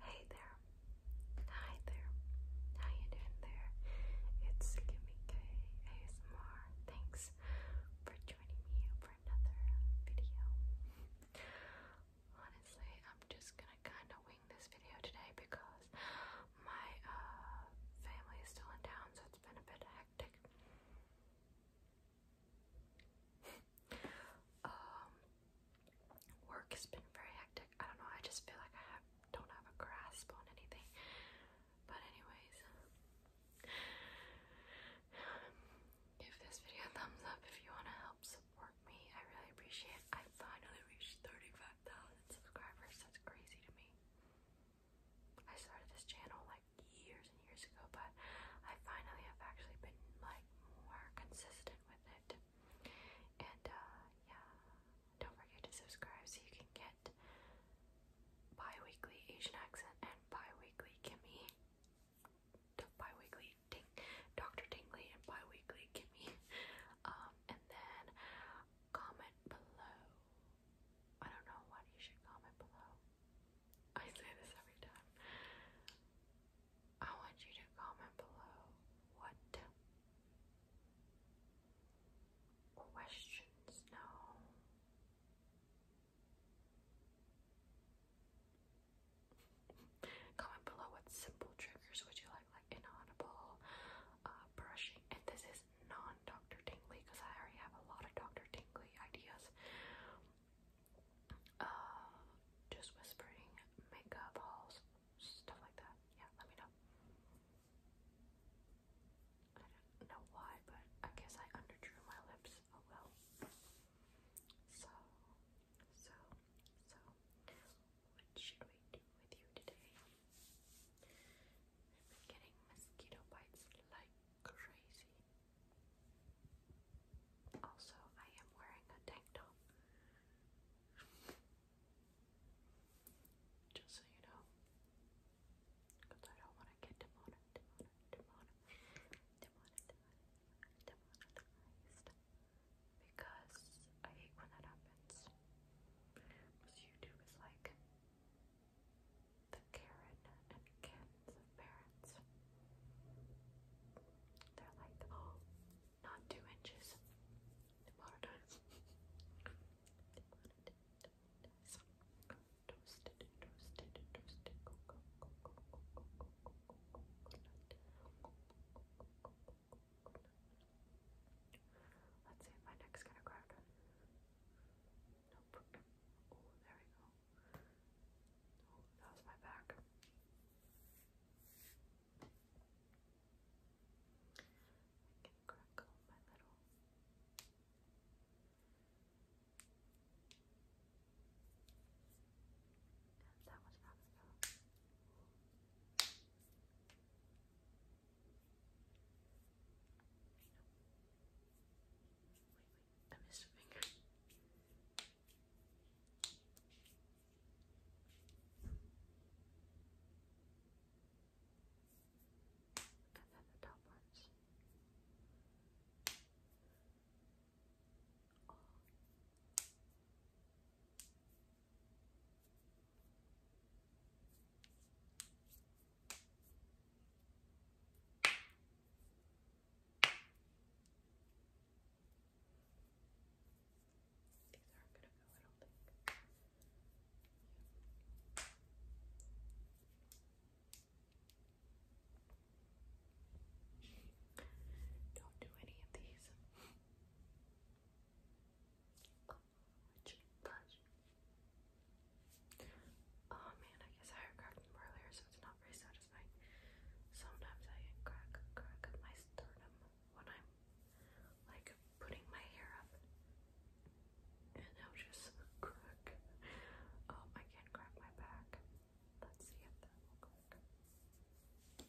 Hey there. Hi there. How you doing there? It's Kimike ASMR. Thanks for joining me for another video. Honestly, I'm just gonna kinda wing this video today because my uh, family is still in town so it's been a bit hectic. Um, work has been very hectic. I don't know. I just feel like I don't have a grasp on anything. But anyways, give this video a thumbs up if you want to help support me. I really appreciate I finally reached 35,000 subscribers. That's crazy to me. I started this channel like years and years ago, but I finally have actually been like more consistent with it. And uh, yeah, don't forget to subscribe so you can get bi Asian accent and bi Kimmy, bi-weekly Dr. Dingley and bi Kimmy. Um, and then comment below. I don't know what you should comment below. I say this every time. I want you to comment below what questions, no, comment below what simple triggers would you like, like inaudible uh, brushing, and this is non-Dr. Tingley because I already have a lot of Dr. Tingley ideas uh, just whispering, makeup hauls, stuff like that. Yeah, let me know. I don't know why, but I guess I underdrew my lips a oh, little. So, so, so, what should we do with you today? I've been getting mosquito bites like crazy. Also, I am wearing a tank top. Just so you know. Because I don't want to get demonetized. Because I hate when that happens. Because YouTube is like the Karen and Ken's of parents. They're like, oh, not two inches. Demonetized. Demonetized. Toasted, toasted, toasted. Go, go, go, go, go, go, go, go, go, go, go, go, go, Let's see my neck's gonna crack. Nope. Oh, there we go. Oh, that was my back. I can crackle my little that was not Wait, wait, I missed a finger. And then the top ones. Oh. All these are don't do any of these. Oh man, I guess I grabbed them earlier, so it's not very sometimes I crack crack my sternum when I'm like putting my hair up and it'll just crack. Um I can't crack my back. Let's see if that will crack.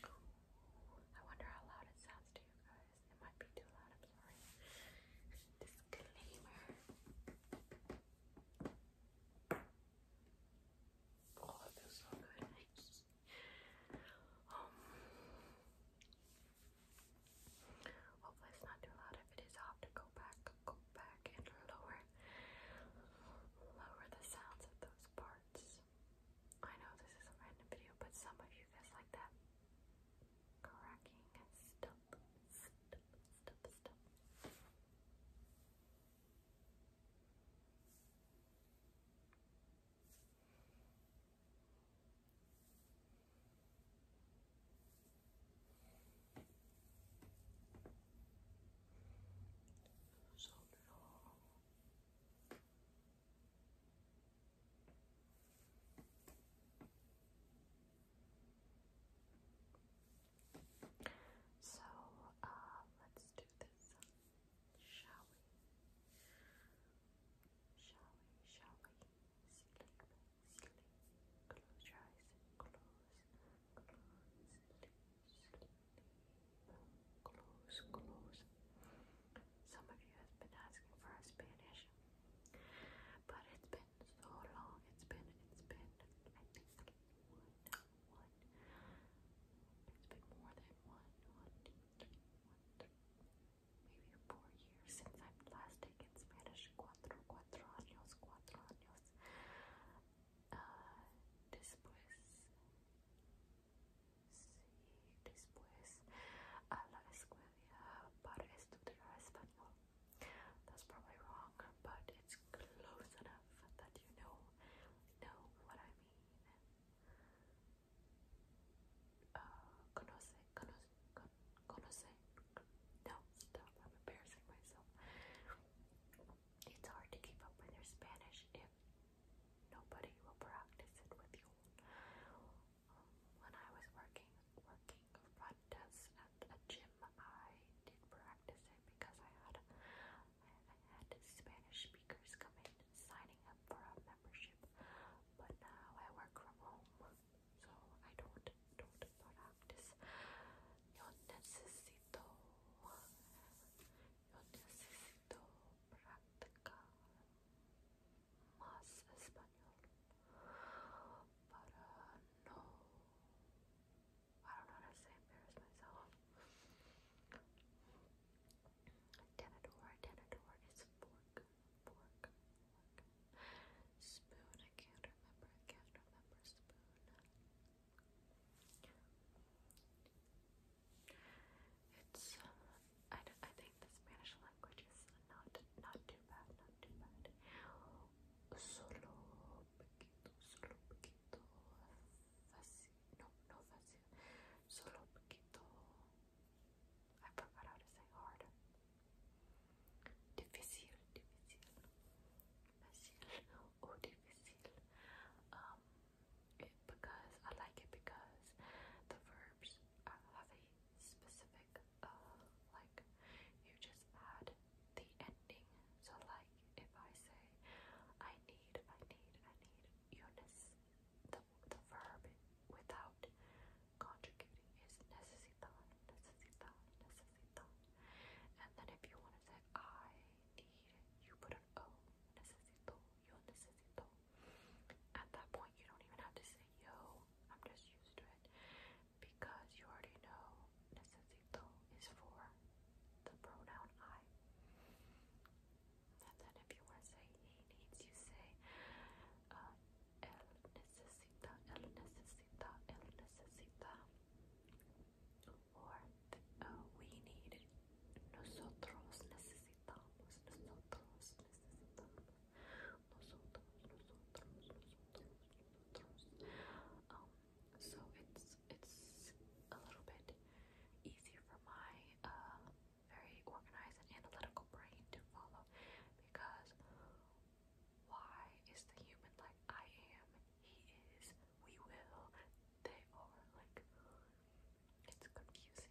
I wonder how loud it sounds to you guys. It might be too loud, I'm sorry. Disclaimer. Oh, it feels so good. um, hopefully it's not too loud. If it is, have to go back, go back and lower, lower the sounds of those parts. I know this is a random video, but some of you guys like that cracking stuff, So long. Thank you so, uh, let's do this, shall we? Shall we? Shall we? Sleep, sleep, close your eyes, close, close, sleep, sleep, close, close. Some of you have been asking for Spanish, but it's been so long. It's been, it's been, I think one, one. It's been more than one, one, two, three, one, three, maybe four years since I've last taken Spanish. Cuatro, cuatro años, cuatro años. Uh, después, sí, después a la escuela para estudiar español. That's probably wrong, but it's close enough that you know know what I mean. Uh, conoce, conoce, conoce. No, stop! I'm embarrassing myself. It's hard to keep up with your Spanish if nobody will practice it with you. When I was working working front desk at a gym, I did practice it because I had I had Spanish speakers come signing up for a membership. But now I work from home, so I don't don't practice. Yo necesito yo necesito practicar más español. Para no, I don't know how to say embarrass myself. Tenador, tenador is fork, fork, fork. Spoon, I can't remember, I can't remember spoon. It's, um, I, I think the Spanish not, too bad, not too bad. Solo poquito, no, no fácil. Solo I forgot how to say hard. Difícil, difícil. Fácil or difícil. Um, eh, because I like it because the verbs uh, have a specific, uh, like, you just add the ending. So, like, if I say, I need, I need, I need, Eunice, the, the verb without conjugating is necesitan, necesitan, necesitan. And then if you want to say, I need, you put an O, necesito, yo necesito. At that point, you don't even have to say yo, I'm just used to it because you already know necesito is for the pronoun I. And then if you want to say he needs, you say él uh, necesita, él necesita, él necesita. Or uh, we need, nosotros necesitamos, nosotros necesitamos nosotros, nosotros, so it's it's a little bit easier for my very organized and analytical brain to follow because why is the human like I am, he is, we will, they are like it's confusing.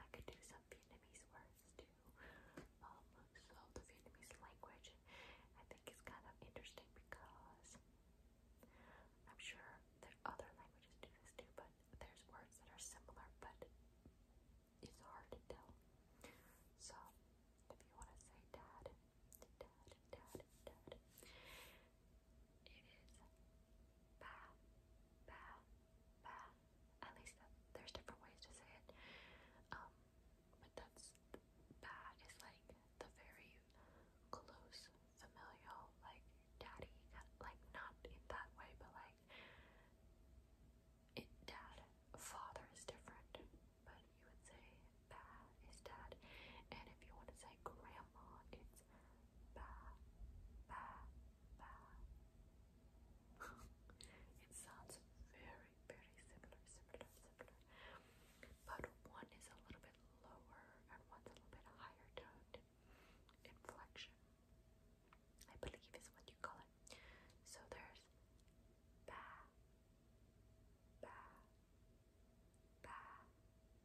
I could do some Vietnamese words too. Um, so the Vietnamese language, I think, is kind of interesting because I'm sure there's other languages do this too, but there's words that are similar, but it's hard to tell. So if you want to say dad, dad, dad, dad, it is ba, ba, ba. At least there's different ways to say it. Um, but that's ba is like the very close, familial, like daddy, like not in that way, but like it dad, father is different. But you would say ba is dad, and if you want to say grandma, it's ba ba ba. it sounds very, very similar, similar, similar. But one is a little bit lower and one's a little bit higher toned inflection. I believe is what you call it. So there's ba ba ba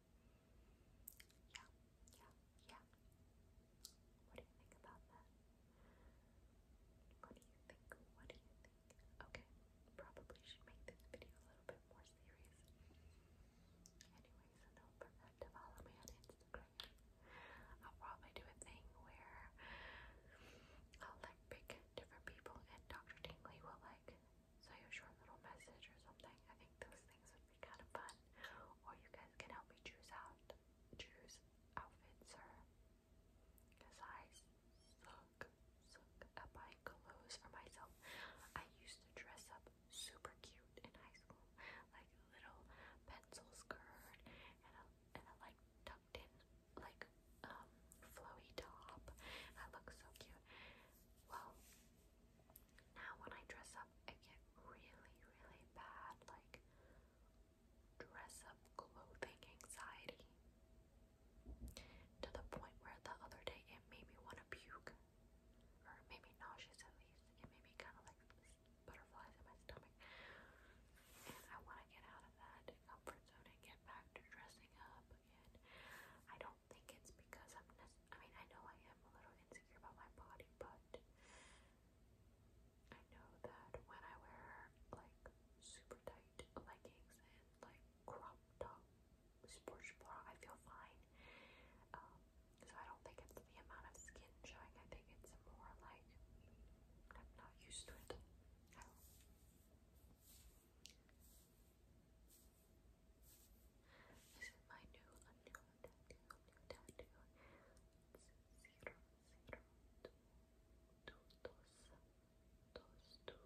Yeah, yeah, yeah. What do you think about that? What do you think? What do you think? Okay, probably should make this video a little bit more serious. Anyways, so don't forget to follow me on Instagram. I'll probably do a thing where I'll like pick different people and Dr. Tingley will like like saw short little message or something. I think those things would be kind of fun. Or you guys can help me choose out choose outfits or because I suck suck at buying clothes for myself. I used to dress up super cute in high school. Like little pencil skirt and a and a like tucked in like um flowy top. I look so cute. Well, now when I dress up, I get really, really bad, like, dress up clothing anxiety. To the point where the other day it made me want to puke. Or made me nauseous at least. It made me kind of like butterflies in my stomach. And I want to get out of that comfort zone and get back to dressing up again. I don't think it's because i I mean, I know I am a little insecure about my body, but I know that when I wear like super tight leggings and like crop top sports bra, I feel fine. Um, so I don't think it's the amount of skin showing. I think it's more like I'm not used to it. This is my new undo tattoo, new tattoo. It's zero, zero, two, two,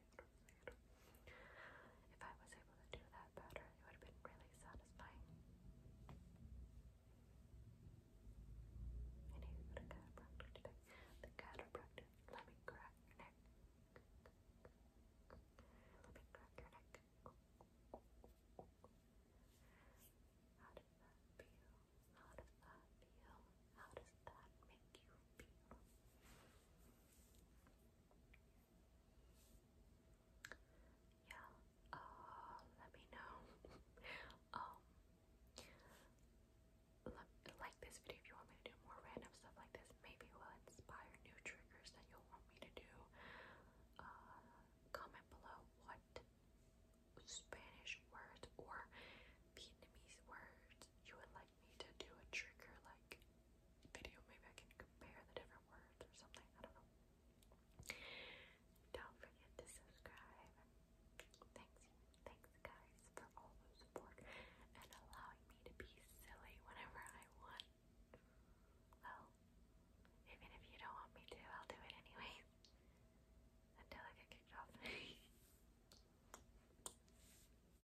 If I was able to do that better, it would have been really satisfying. The chiropractor, let me crack your neck. Let me crack your neck. How does that feel? How does that feel? How does that make you feel? Yeah, uh, let me know. Um, like this video if you want me to do more random stuff like this. Maybe it will inspire new triggers that you'll want me to do. Uh, comment below what Spanish words or Vietnamese words you would like want me to do a trigger like video. Maybe I can compare the different words or something. I don't know. Don't forget to subscribe. Thanks, thanks guys for all the support and allowing me to be silly whenever I want. Well, even if you don't want me to, I'll do it anyway. Until I get kicked off.